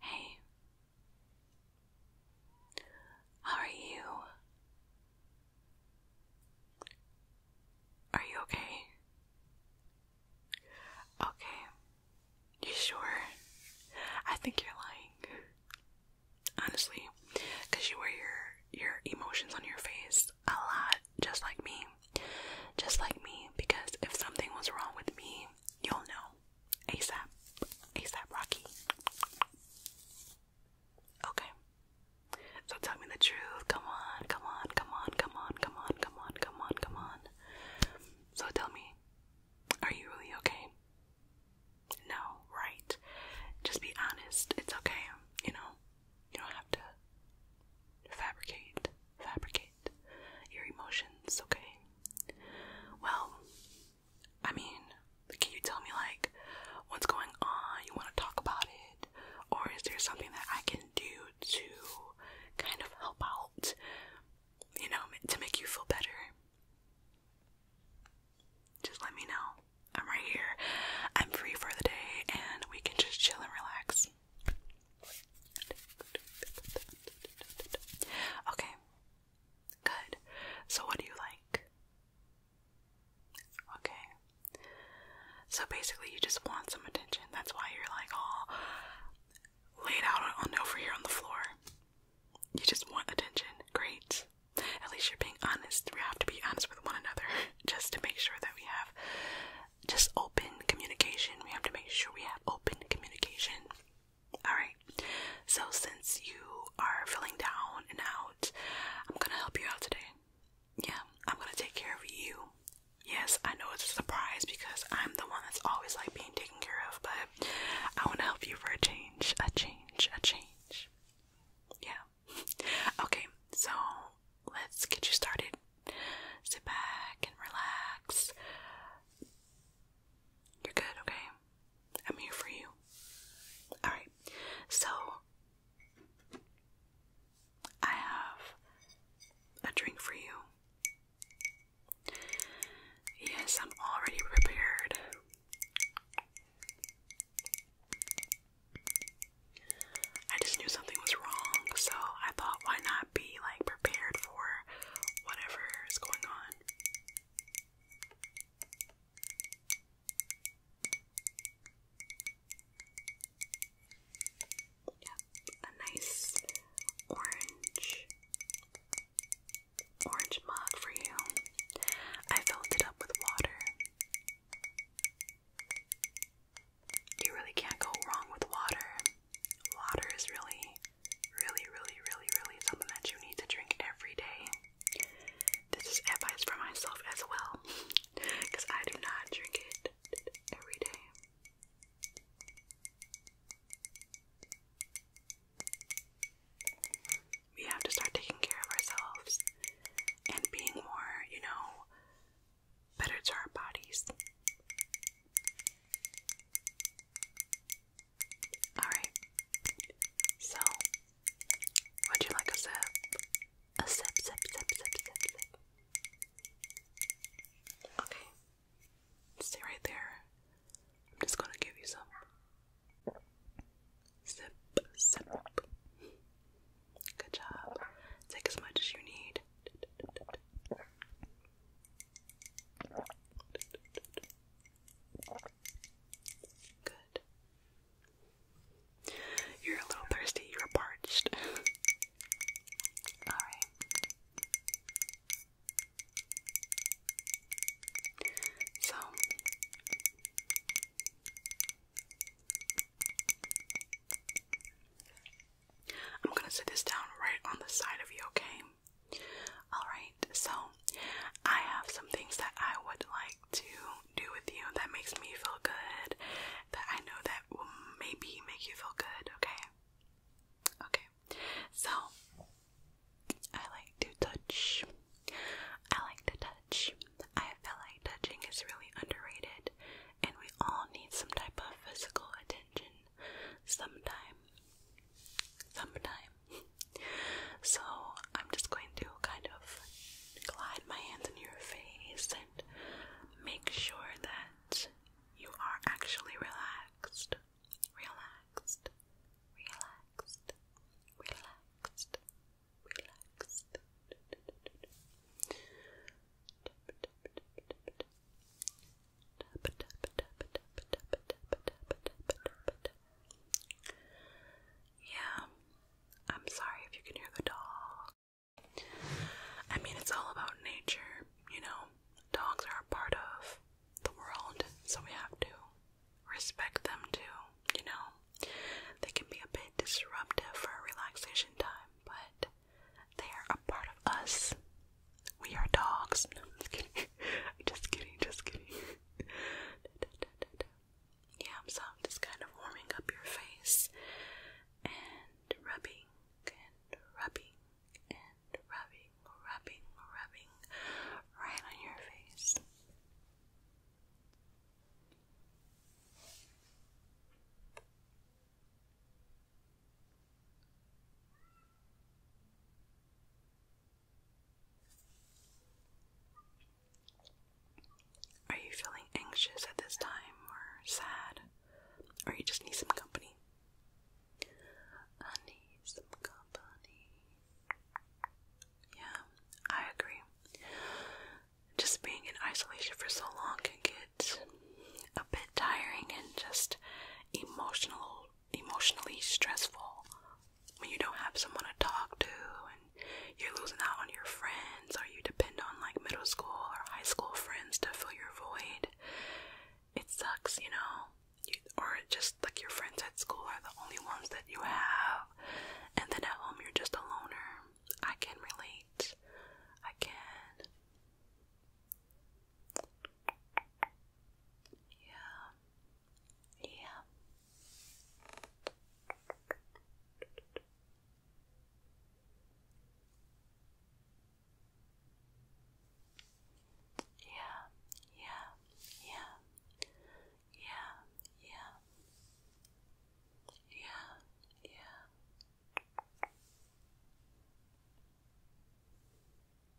Hey, how are you? Are you okay? Okay. You sure? I think you're lying. Honestly, because you wear your your emotions on your face a lot, just like me. Just like me, because if something was wrong with me, you'll know. ASAP. ASAP Rocky. Okay. So tell me the truth. Come on, come on, come on, come on, come on, come on, come on, come on. So tell me, are you really okay? No, right. Just be honest. It's okay, you know? You don't have to fabricate, fabricate your emotions, okay? Well, I mean, can you tell me, like, what's going on? You want to talk about it? Or is there something that I can do to kind of help out? you know, to make you feel better, just let me know. I'm right here. I'm free for the day, and we can just chill and relax. Okay, good. So, what do you like? Okay. So basically, you just want some attention. That's why you're like, oh, laid out on over here on the floor. You just want attention. Great. At least you're being honest. We have to be honest with one another just to make sure that we have just open communication. We have to make sure we have open communication. Alright. So since you are feeling down and out, I'm gonna help you out today. Yeah, I'm gonna take care of you. Yes, I know it's a surprise because I'm the one that's always like being taken care of, but I want to help you for a change, a change, a change. Yeah. Okay, so let's get you started. Sit back and relax. You're good, okay? I'm here for you. Alright, so I have a drink for you. Yes, I'm already prepared. I just knew something was wrong, so I thought, why not be like prepared for whatever is going on? Yep, a nice orange orange mug for you. I filled it up with water. You really can't go wrong with water. Water is really, really, really, really, really something that you need to drink every day. This is advice for myself as well, because I do not drink it every day. We have to start taking care of ourselves and being more, you know, better to our bodies. Alright, so would you like a sip? A sip, sip, sip, sip, sip, Okay, Stay right there. I'm just gonna give you some. Sip, sip. Good job. Take as much as you need. Good. You're a little thirsty, you're parched. Alright. So I'm gonna set this down right on the side of you, okay? Alright, so I have some things that I would like to do with you that makes me feel good, that I know that will maybe make you feel good, okay? Okay so I like to touch. I like to touch. I feel like touching is really underrated, and we all need some type of physical attention sometime. Sometime. So I'm just going to kind of glide my hands in your face and make sure that you are actually relaxed relaxed, relaxed, relaxed, relaxed. Yeah, I'm sorry if you can hear the dog. I mean, it's all about nature, you know. Dogs are a part of the world, so we have to respect them too, you know. They can be a bit disruptive for relaxation time, but they are a part of us. We are dogs. No, I'm just kidding. just kidding, just kidding. yeah, so I'm just kind of warming up your face and rubbing and rubbing rubbing, rubbing, rubbing right on your face. Are you feeling anxious at this time or sad? Or you just need some company? I need some company. Yeah, I agree. Just being in isolation for so long can get a bit tiring and just emotional, emotionally stressful when you don't have someone to talk to and you're losing out on your friends or you depend on like middle school or high school friends to fill your void it sucks, you know, you, or just like your friends at school are the only ones that you have, and then at home you're just a loner. I can relate. I can. Yeah. Yeah. Yeah, yeah, yeah, yeah, yeah, yeah, yeah.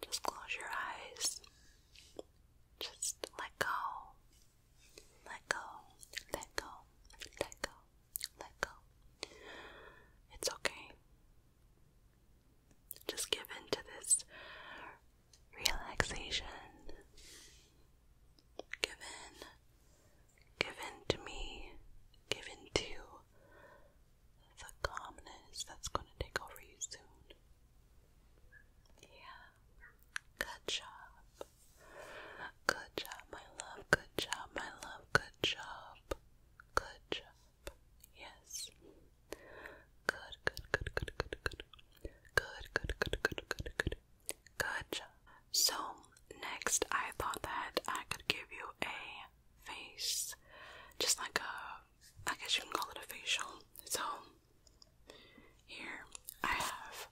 Just close your eyes. Just let go. Let go. Let go. Let go. Let go. It's okay. Just give in to this relaxation. Give in. Give in to me. Give in to the calmness that's going to take over you soon. Yeah. Good job. Good job, my love. Good job, my love. Good job. Good job. Yes. Good, good, good, good, good, good. Good, good, good, good, good, good. Good job. So, next I thought that I could give you a face. Just like a, I guess you can call it a facial. So, here I have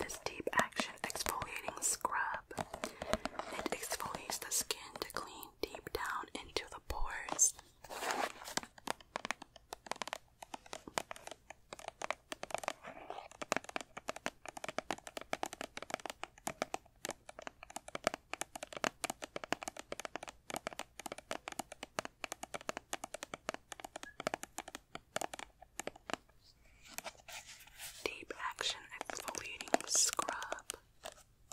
this deep action exfoliating scrub. It exfoliates the skin to clean deep down into the pores. Deep Action Exfoliating Scrub.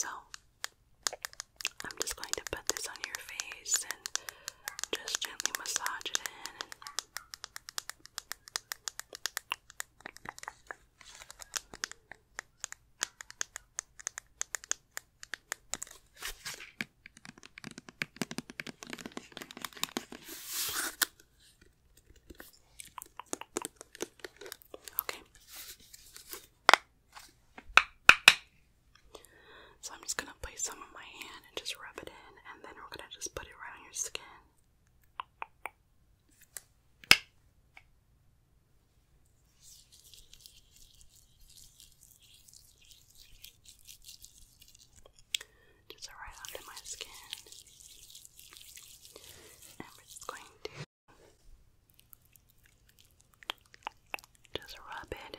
So, I'm just going to put this on your face and just gently massage it in. Okay. So I'm just gonna place some on my hand and just rub it in, and then we're gonna just put it right on your skin. Just right under my skin. And we're just going to just rub it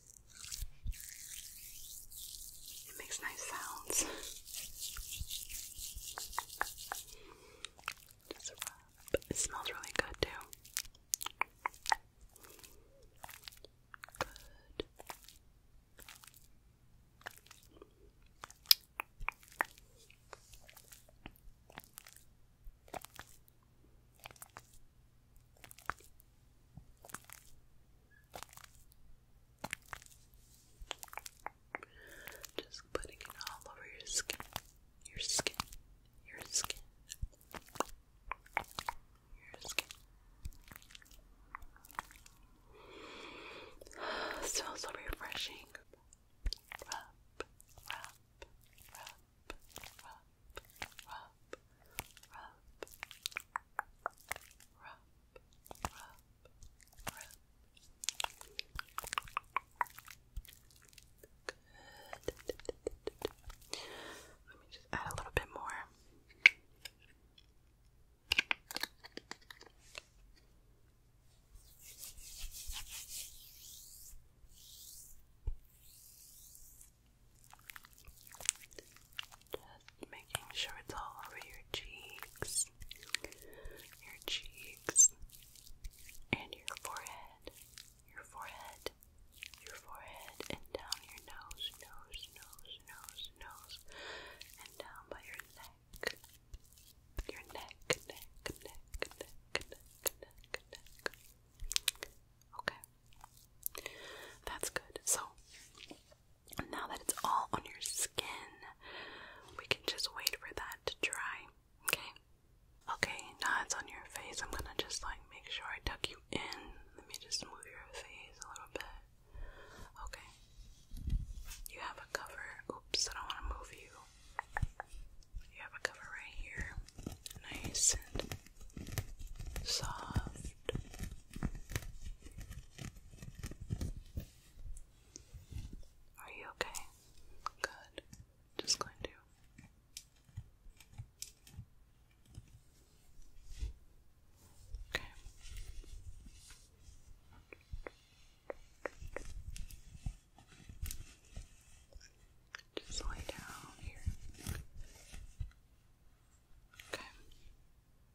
it makes nice sounds. It smells really good too. Just putting it all over your skin, your skin, your skin, your skin. Smells so refreshing rub, rub, rub. Good. Let me just add a little bit more. Good. Just making sure it's all over your cheeks, your cheeks, and your forehead, your forehead, your forehead, and down your nose, nose, nose, nose, nose, and down by your neck, your neck, neck, neck, neck, neck, neck, neck. Okay, that's good. So. And now that it's all on your skin, we can just wait for that to dry. Okay? Okay, now it's on your face. I'm gonna just like make sure I tuck you in. Let me just move your face a little bit. Okay. You have a cover. Oops, I don't wanna move you. You have a cover right here. Nice and soft. Are you okay? Good. Just going to. Okay. Just lay down here. Okay.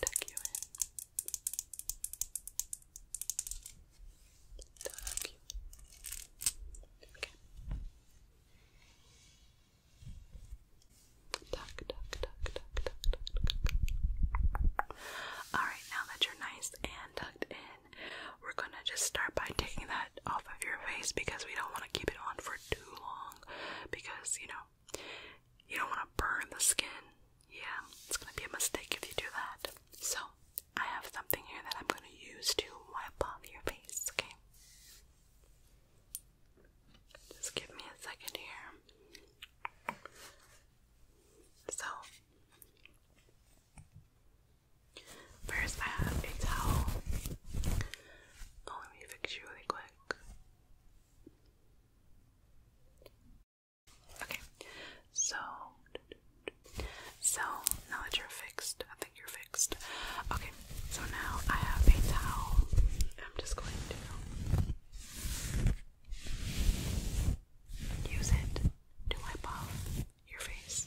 Tuck you in. Tuck Okay. tuck, tuck, tuck, tuck, tuck, tuck. Alright, now that you're nice and tucked in, we're gonna just start by taking that off of your face because we don't want to keep it on for too long because, you know, you don't want to burn the skin. Yeah, it's going to be a mistake if you do that. So, I have something here that I'm going to use to wipe off your face, okay? Just give me a second here. So, first I have a towel. Oh, let me fix you really quick. Okay, so so now that you're fixed, I think you're fixed. Okay, so now I have a towel. I'm just going to use it to wipe off your face.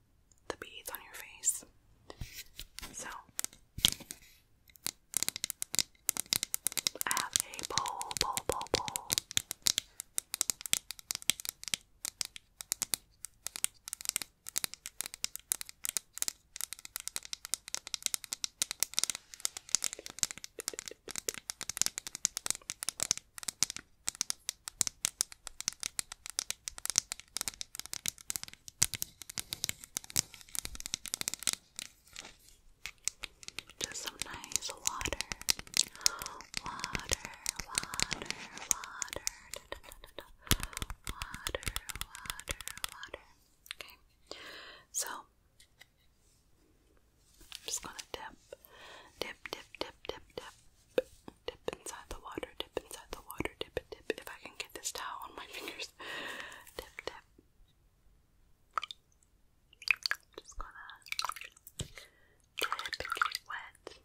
the beads on your face. So, I have a bowl, bowl, just some nice water. Water, water, water. Da, da, da, da, Water, water, water. Okay. So I'm just gonna dip. Dip, dip, dip, dip, dip. Dip inside the water, dip inside the water, dip it, dip. If I can get this towel on my fingers, dip, dip. Just gonna dip and get it wet. Dip,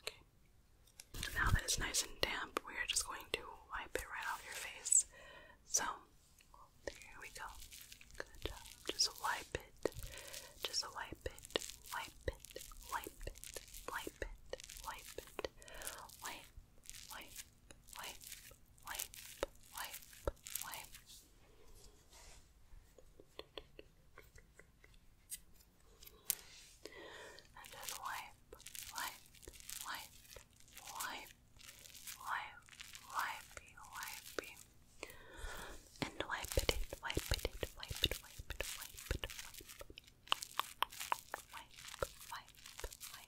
Okay. Now that it's nice and damp, we are just going to wipe it right off your face. So, there we go. Good job. Just wipe it. Just wipe it. Wipe it. Wipe it. Wipe it. Wipe it. Wipe. Wipe wipe, wipe, wipe, wipe. And then wipe, wipe, wipe, wipe, wipe, wipey, And wipe it, wipe it, wipe it, wipe it, wipe it. Wipe, wipe, wipe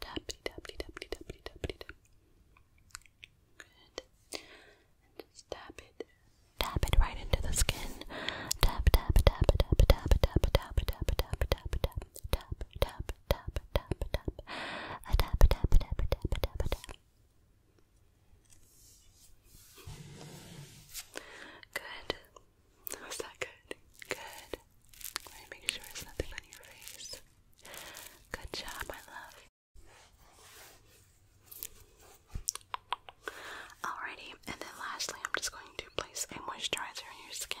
Tappity tappity tappity tappity tappity tap. Good. And just tap it. Tap it right into the skin. Tap tap tap tap tap tap tap tap tap tap tap tap tap tap tap tap a tap tap tap tap tap tap. Good. How's that good? Good. I'm make sure there's nothing on your face. Good job, my love. Alrighty, and then lastly, I'm just going to place a moisturizer on your skin.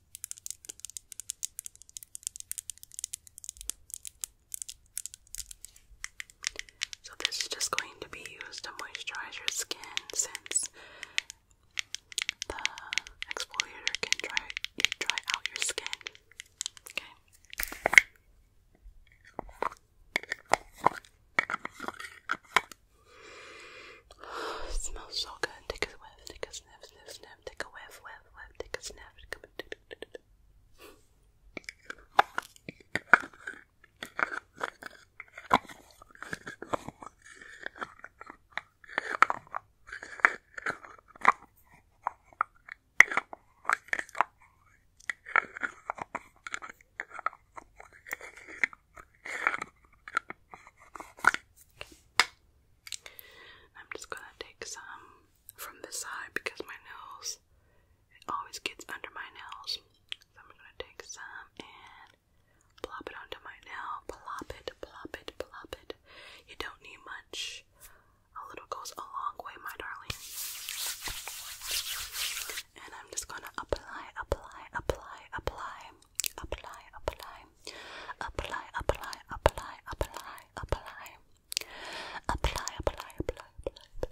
So, this is just going to be used to moisturize your skin since the exfoliator can dry, dry out your skin. Okay. smells so good. Take a whiff, take a sniff, sniff, sniff, take a whiff, whiff whip, whip, take a snap. Come and do, do, do, do. Okay. I'm just gonna take some from the side because my nails, it always gets under my nails. So I'm gonna take some and plop it onto my nail. Plop it, plop it, plop it. You don't need much. A little goes a long way, my darling. And I'm just gonna apply, apply, apply, apply, apply, apply, apply, apply, apply, apply, apply, apply, apply, apply, apply,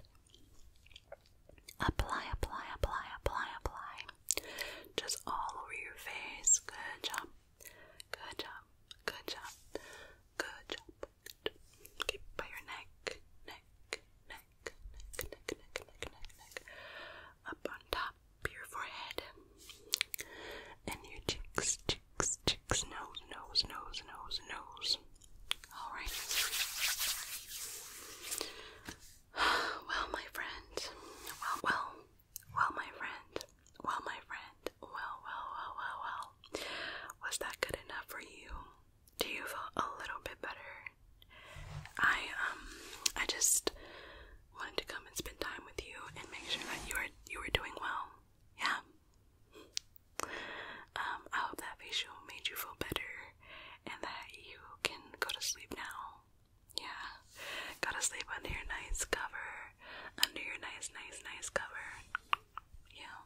apply, apply, apply, apply, apply, just all over your face. Good job, good job, good job, good job. Keep by your neck, neck, neck, neck, neck, neck, neck, neck, neck, up on top. Your forehead and your cheeks, nose, nose, nose, nose, nose. All right. Well, my friend. Well, well, well, my friend. Well, my friend. Well, well, well, well, well. Was that good enough for you? Do you feel a little bit better? I um, I just wanted to come and spend time with you and make sure that you are you are doing well yeah. Um, I hope that facial made you feel better and that you can go to sleep now. Yeah. Gotta sleep under your nice cover. Under your nice, nice, nice cover. Yeah.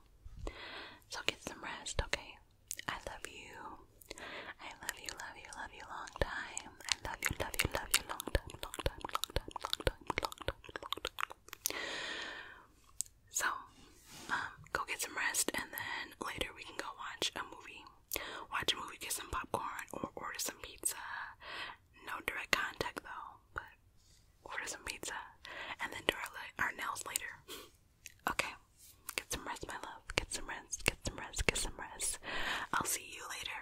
So get some rest, okay? I love you. I love you, love you, love you long time. I love you, love you, love you long time, long time, long time, long time. So, um, go get some rest, and then later we can go watch a movie. Watch a movie, get some popcorn, or order some pizza. No direct contact though, but order some pizza, and then do our, our nails later. okay, get some rest, my love. Get some rest. Get some rest. Get some rest. I'll see you later.